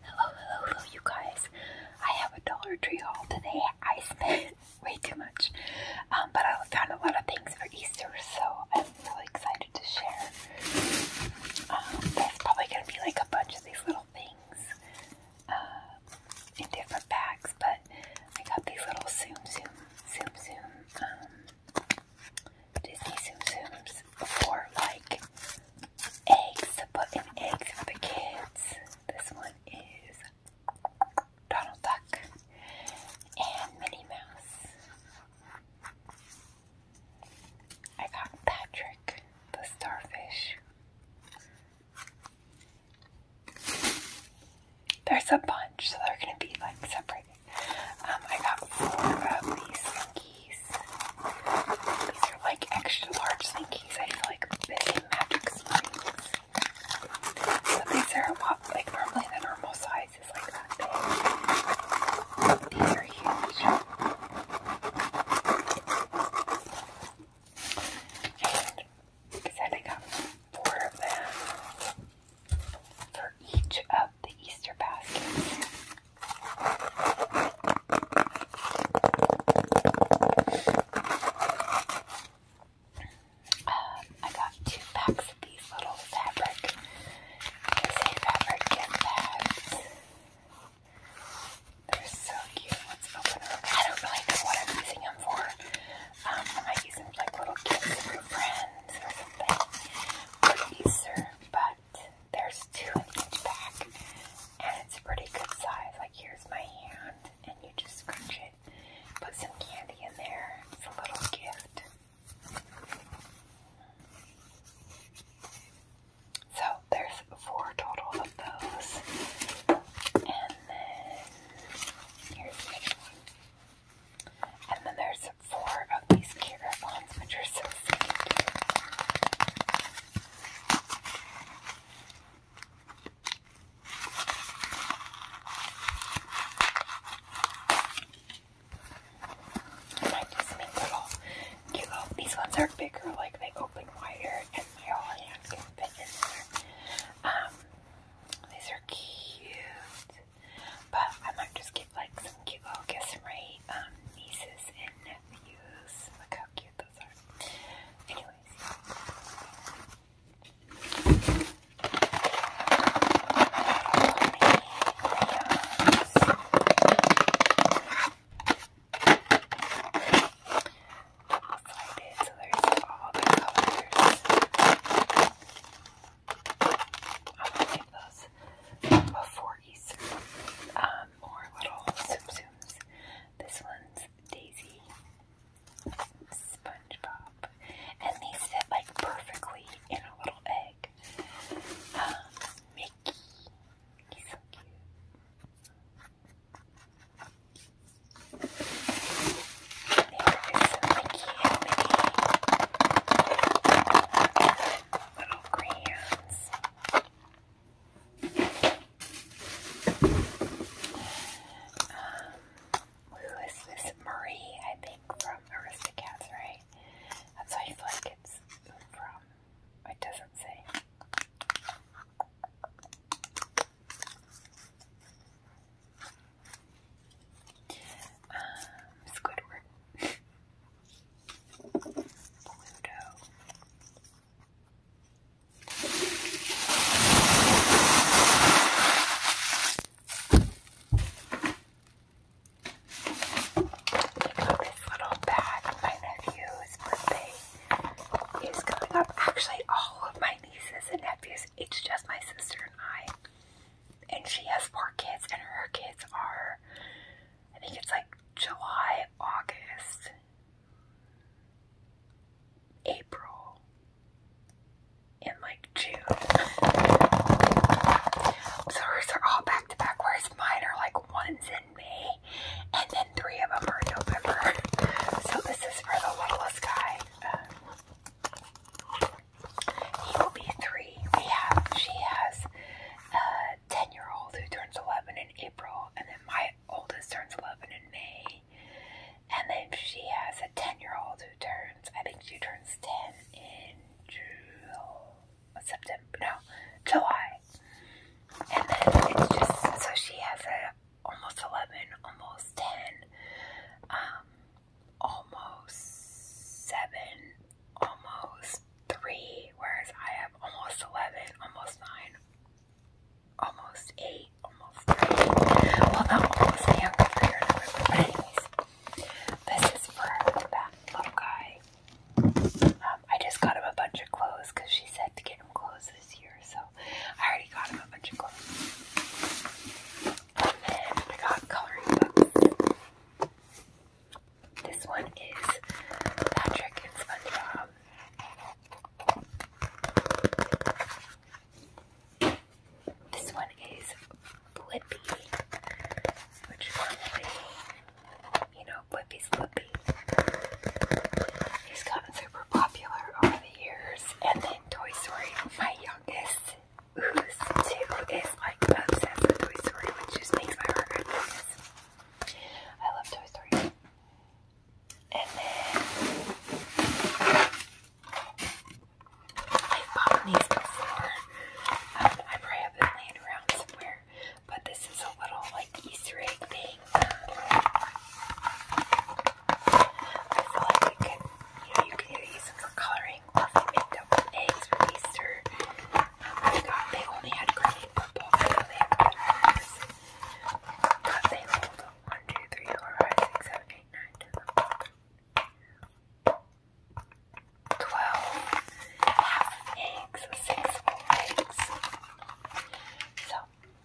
Hello, hello, hello, you guys. I have a Dollar Tree haul today. I spent way too much, um, but I found a lot of things for Easter, so I'm really excited to share. Um, there's probably going to be like a bunch of these little things uh, in different bags, but I got these little Zoom Zoom Zoom Zoom um, Disney Zoom Zooms for like eggs, put in eggs for the kids. This one is Donald Duck and Minnie Mouse. I got Patrick the starfish. There's a bunch, so they're gonna be like separated. Um, I got four of these these are like extra large Slinkies. I feel like big magic Slinkies. But these are like normally the normal size is like that big. These are huge. And I I got four of them for each of the Easter baskets. Um, I got two packs of these little fabric, say fabric gift bags. They're so cute. Let's open them. I don't really know what I'm using them for. Um, I might use them for little gifts for friends or something Easter, but there's two in each pack, and it's a pretty good size. Like, here's my hand, and you just scrunch it, put some candy in there. It's a little gift. So, there's four total of those. And then, here's the next one. And then there's four of these carrot ones, which are so I might do something little cute These ones are bigger, like they open wider, and my whole hand can fit in there. Um, these are cute, but I might just give like some cute gifts from my um, nieces and Look how cute those are. Anyways. Slide it so there's all the colors. I'm going those before Easter. Um, more little Tsum This one's Daisy, SpongeBob, and these fit like perfectly in a little egg. Um, Mickey, he's so cute. Little crayons. Um, who is this? Marie, I think, from Aristocats, right? That's why I feel like it's from. It doesn't say. Um, Squidward. Pluto. This little bag, my nephew's birthday is coming up. Actually, all of my nieces and nephews, it's just my sister and I. And she has four kids, and her kids are I think it's like July, August, April, and like June. So hers are all back to back, whereas mine are like one's in May, and then three of them are November. So this is for the littlest guy. Um, he will be three. We have, she has uh, 10 year old who turns 11 in April, and then my oldest turns 11 in May. And then she has a 10 year old who turns, I think she turns 10 in June, September, no, July. And then it's just, so she has a almost 11, almost 10, um, almost 7, almost three, whereas I have almost 11, almost 9, almost 8, almost 3. Well, not almost 3, I'm going to figure it out. But, anyways, this is for that little guy. Um, I just got him a bunch of clothes because she said to get him clothes this year, so I already got him a bunch of clothes. And then I got coloring books. This one is Patrick and SpongeBob. This one is Blippi, which normally, you know, Blippi's Blippi. He's gotten super popular over the years. And then Toy Story, my youngest, who's two, is like obsessed with Toy Story, which just makes my heart happiness. I love Toy Story. And then i bought these before. Um, I probably have it laying around somewhere, but this is a little like Easter egg thing. I feel like you can, you can use them for coloring or for makeup eggs for Easter. Oh my God! they only had green purple. I they have red and they hold 1, eggs, 6 full eggs. So,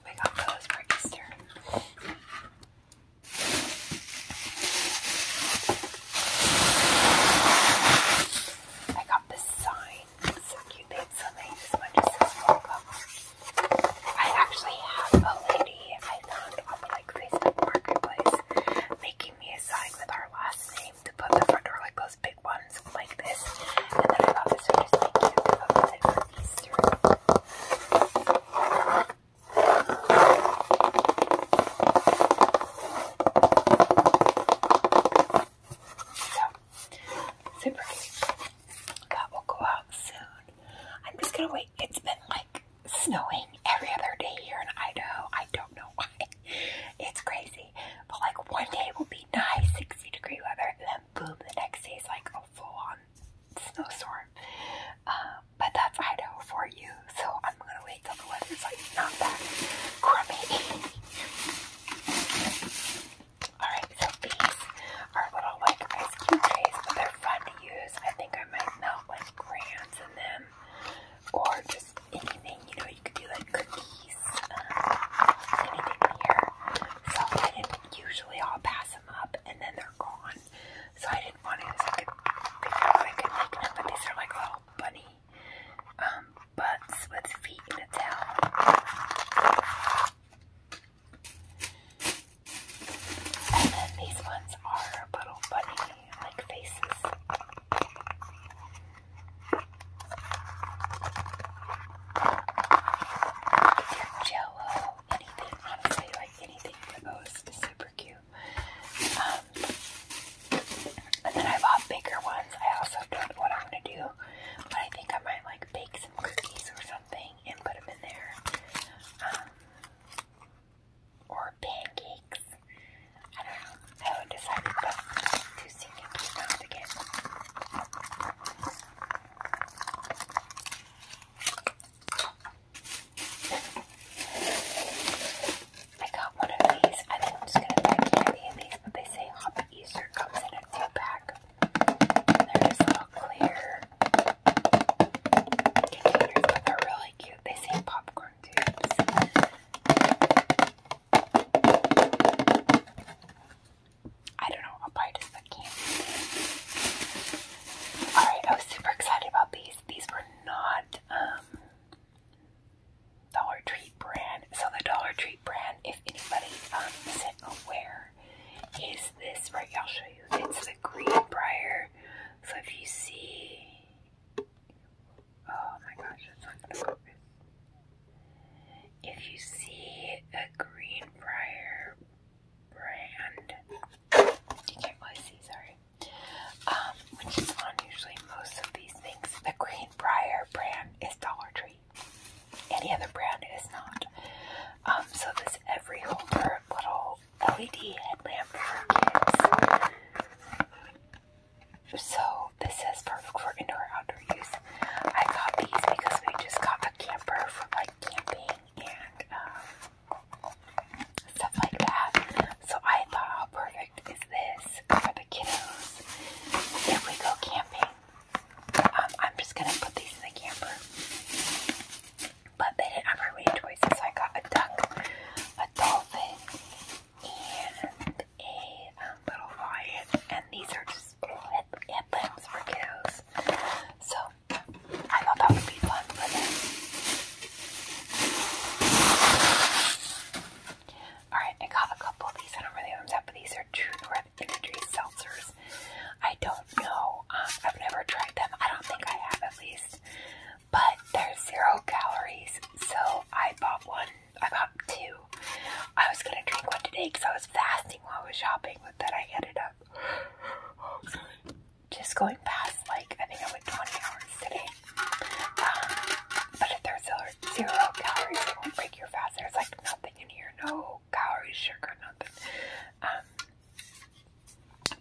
we got those for Easter. I got this sign. so cute. They had so many. This I actually have a lady I found on like Facebook marketplace making me a sign with our last name to put the front door, like those big ones, like this. And then I got this one just super cute. That will go out soon. I'm just gonna wait. It's been like snowing every other day here in Idaho. I don't know why. It's crazy. But like one day will be nice, 60 degree weather, and then boom, the next day is like a full on snowstorm. Um, but that's Idaho for you. So I'm gonna wait Alright, so these are little like ice cube trays, they're fun to use. I think I might melt like crayons in them or just anything, you know, you could do like cookies, um, anything here. So I usually I'll pass them up and then they're gone. So I didn't want to use I could make them, but these are like little bunny um, butts with feet in a towel. And then these ones are little bunny like faces. Jello, anything, honestly, like anything for those super cute. Um, and then I bought bigger ones. I also don't know what I'm going to do, but I think I might like bake some cookies or something and put them in there. Um, or pancakes. I don't know. I haven't decided, but too soon to keep out again. I got one of these. I think I'm just gonna buy candy of these, but they say Hobby Easter comes in a two pack. And they're just little clear they're really cute. They say popcorn tubes. I don't know, I'll buy just the candy. Alright, I was super excited about these. These were not, um, Dollar Tree brand. So the Dollar Tree brand, if anybody um, isn't aware, is this right? I'll show you. It's the green briar. So if you see, oh my gosh, it's not gonna focus. If you see the green briar brand, you can't really see. Sorry um, which is on usually most of these things. The Greenbrier brand is Dollar Tree. Any other brand is not. Um, so this every little LED headlamp for kids. So this is perfect for indoor outdoor use. I got these because we just got a camper for like camping and um, stuff like that. So I thought, how perfect is this for the kiddos if we go camping? Um, I'm just gonna put these in the camper. But they didn't have very many I got a duck, a dolphin, and a um, little lion. And these are just little headlamps for kiddos. So I thought that would be fun for them. Alright, I got a couple of these. I don't really have them but these are True North Energy Seltzers. I don't know. Um, I've never tried them. I don't think I have, at least. But they're zero calories, so I bought one. I bought two. I was gonna drink one today because I was fasting while I was shopping, but then I ended up just going past like I think I went 20 hours today. Um, but if there's zero calories, it won't break your fast. There's like nothing in here, no calories, sugar, nothing. Um,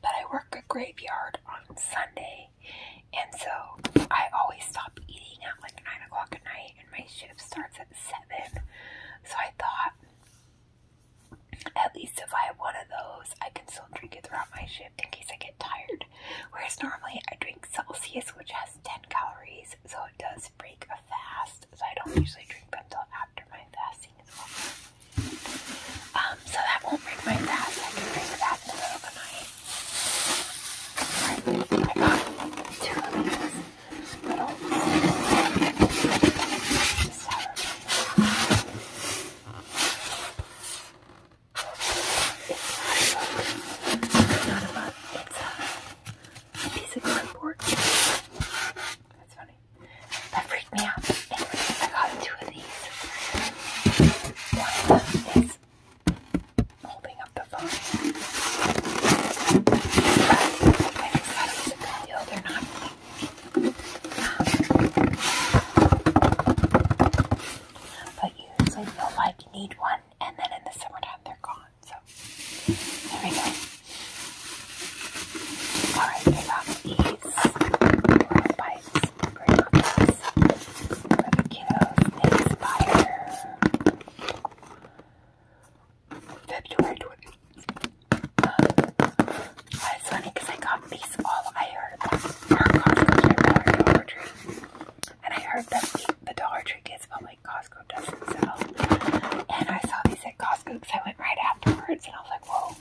but I work a graveyard on Sunday, and so I always stop eating at like 9 o'clock at night, and my shift starts at 7. So I thought, at least if I have one of those, I can still drink it throughout my shift in case I get tired. Whereas normally I drink Celsius, which has 10 calories, so it does break a fast. So I don't usually drink them until after my fasting is over. Um, so that won't break my fast. I can drink that in the middle of the night. I got two of these it's not a bug. It's a piece of cardboard. That's funny. That freaked me out. Anyway, I got two of these. One of them is holding up the phone. But I just thought it was a good deal. They're not. Um, but you feel like need one and then in the summertime they're gone. So there we go. Alright, I got these little bites kiddos. They February 20th. Uh, it's funny because I got these all I heard about and I heard them eat the Dollar Tree kids, but like Costco doesn't sell. And I saw these at Costco because I went right afterwards and I was like, whoa.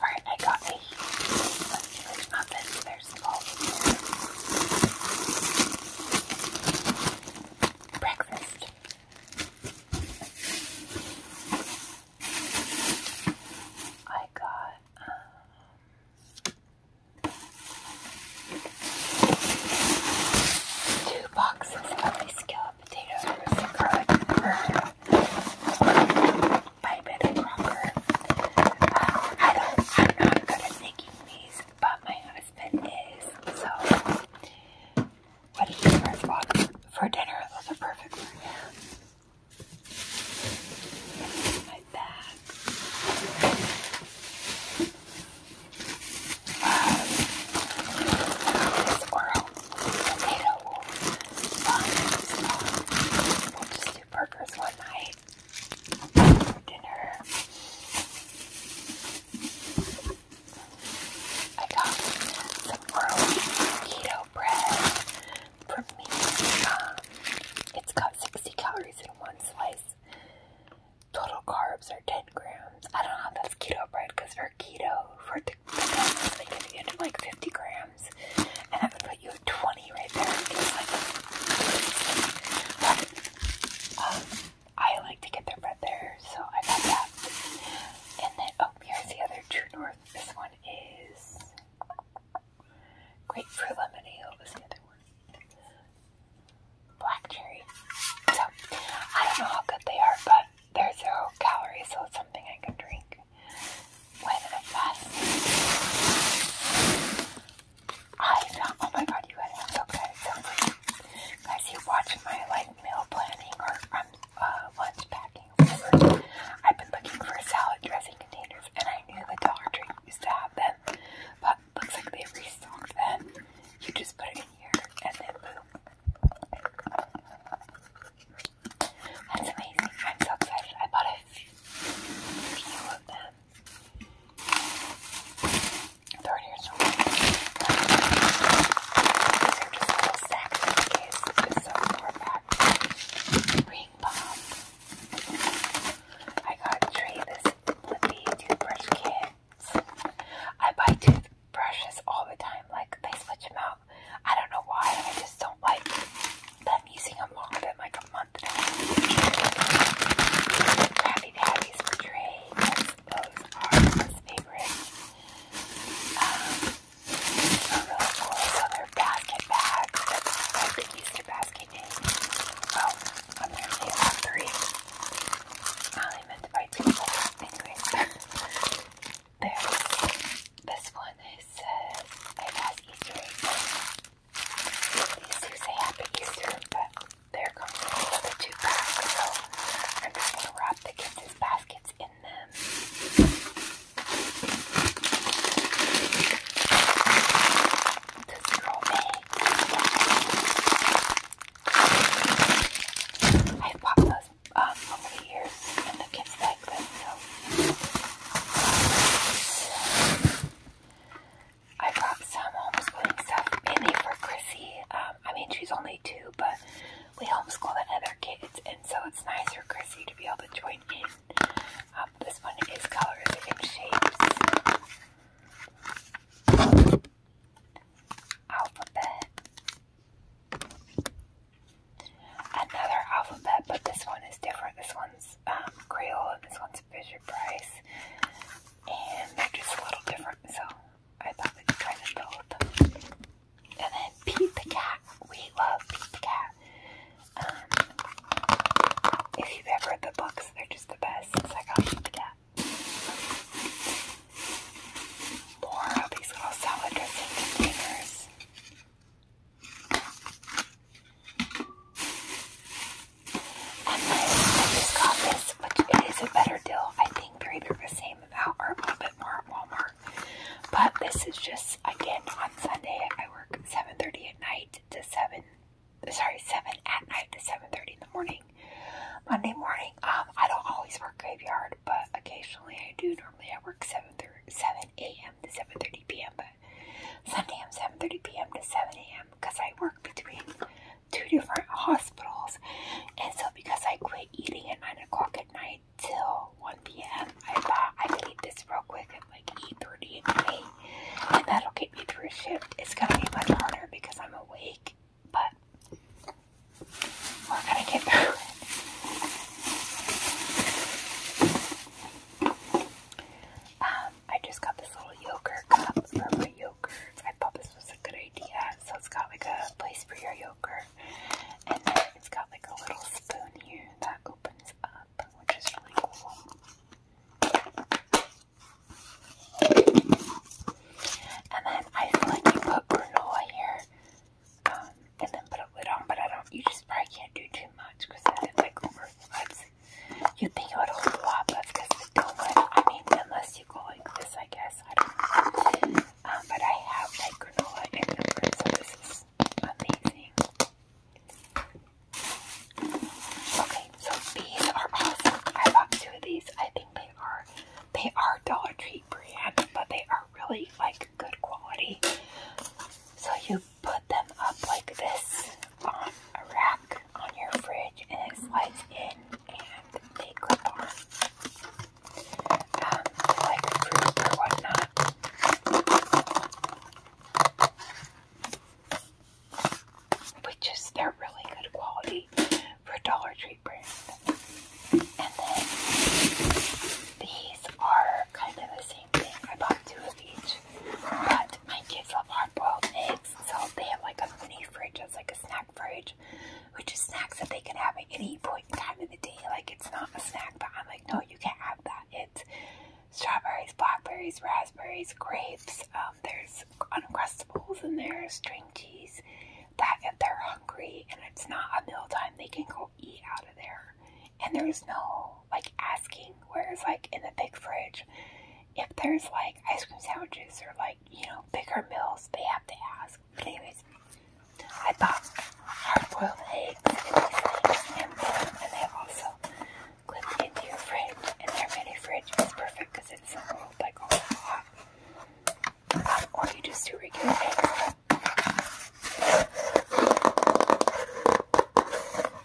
Alright, I got a huge, like, There's all Breakfast. I got um, two boxes of scalloped potatoes with garlic burger uh, I am not good at making these, but my husband is, so what did he first for dinner? Those are perfect for him my bag. Um, potato fun We'll just do burgers one night for dinner. I got some oral keto bread for me, uh, it's got 60 calories in one slice. Total carbs are 10 grams. I don't know how that's keto bread because for keto, for the carbs, they give you like 50 grams, and that put you at 20 right there. It's like, but, um, I like to get their bread there, so I got that. And then, oh, here's the other True North. This one is Grapefruit lemonade was the other one. Black cherry. So I don't know how good they are, but they're zero calories, so it's something I can drink when I fast. I oh my god, you guys are so good. guys, you watch my like meal planning or um, uh, I've been looking for salad dressing containers and I knew the Dollar Tree used to have them, but looks like they restocked them. You just put it in here and then boom. That's amazing. I'm so excited. I bought a few of them. They're in These are just little sacks in case. It's so far Ring bomb. I got three this flippy toothbrush kits. I buy toothbrushes all the time. Like they switch them out. I don't know why. I just don't like them using them longer than like a month Happy Daddy's for trade. Those are his favorite. Um, are really cool. So they're basket bags. That's my Easter basket name. Oh, I'm actually have three. I only meant to buy two more. Anyways, there's this one that says, I pass Easter These two say Happy Easter, but there comes another two packs. So I'm just going to wrap the kids' baskets in I've eh? bought those um, over the years, and the kids like them, so. I brought some homeschooling stuff mainly for Chrissy. Um, I mean, she's only two, but we homeschool the other kids, and so it's nice for Chrissy to be able to join in. Um, this one is colors and shapes. Alphabet. Another alphabet, but this one is different. This one's um, Creole and this one's Fisher Price. And they're just a little different, so I thought they'd kind both. And then Pete the Cat. We love Pete the Cat. Um, if you've ever read the books, they're just the best. It's like, Pete the Cat. More of these little salad dressing containers. And then I just got this, which it is a better deal. I think they're either the same amount or a little bit more at Walmart. But this is just again on Sunday. I work 7:30 at night to 7. Sorry, 7 at night to 7:30 in the morning. Monday morning, um, I don't always work graveyard, but occasionally I do. Normally I work 7 7 a.m. to 7:30 p.m. But Sunday I'm 7:30 p.m. to 7 a.m. because I work between two different hospitals, and so because I quit eating at 9 o'clock at night, till 1 p.m. I thought I could eat this real quick at like 8.30 at night. And that'll get me through shift. It's going to be much harder because I'm awake. But we're going to get through it. Um, I just got this little yogurt cup for my yogurt. I thought this was a good idea. So it's got like a place for your yogurt. And then it's got like a little spoon here that opens up, which is really cool. And then I like you put granola here um, and then put a lid on, but I don't, you just probably can't do too much because I it's like overflows. You'd think it would hold a lot, but because the donut, I mean, unless you go like this, I guess. I don't know. Um, but I have like granola in the room, amazing. Okay, so these are awesome. I bought two of these. I think they are they are Dollar Tree brand, but they are really like good quality. So you put them up like this on a rack on your fridge and it slides in and they clip on um, like fruit or whatnot. Which is they're really good quality for Dollar Tree brand. And then these are kind of the same thing. I bought two of each. But my kids love hard boiled eggs, so they have like a mini fridge that's like a snack fridge, which is snacks that they can have at any point in time of the day. Like it's not a snack, but I'm no, you can't have that. It's strawberries, blackberries, raspberries, grapes. Um, there's uncrustables and there's string cheese. That if they're hungry and it's not a meal time, they can go eat out of there. And there's no like asking. Whereas like in the big fridge, if there's like ice cream sandwiches or like you know bigger meals, they have to ask anyways, I bought hard-boiled eggs and these things they also clip into your fridge. And their mini fridge is perfect because it's not rolled like all hot. Um, or you just do regular eggs.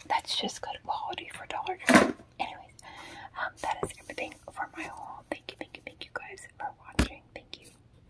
That's just good quality for Dollar Tree. Anyways, um, that is everything for my haul. Thank you, thank you, thank you guys for watching. Thank you.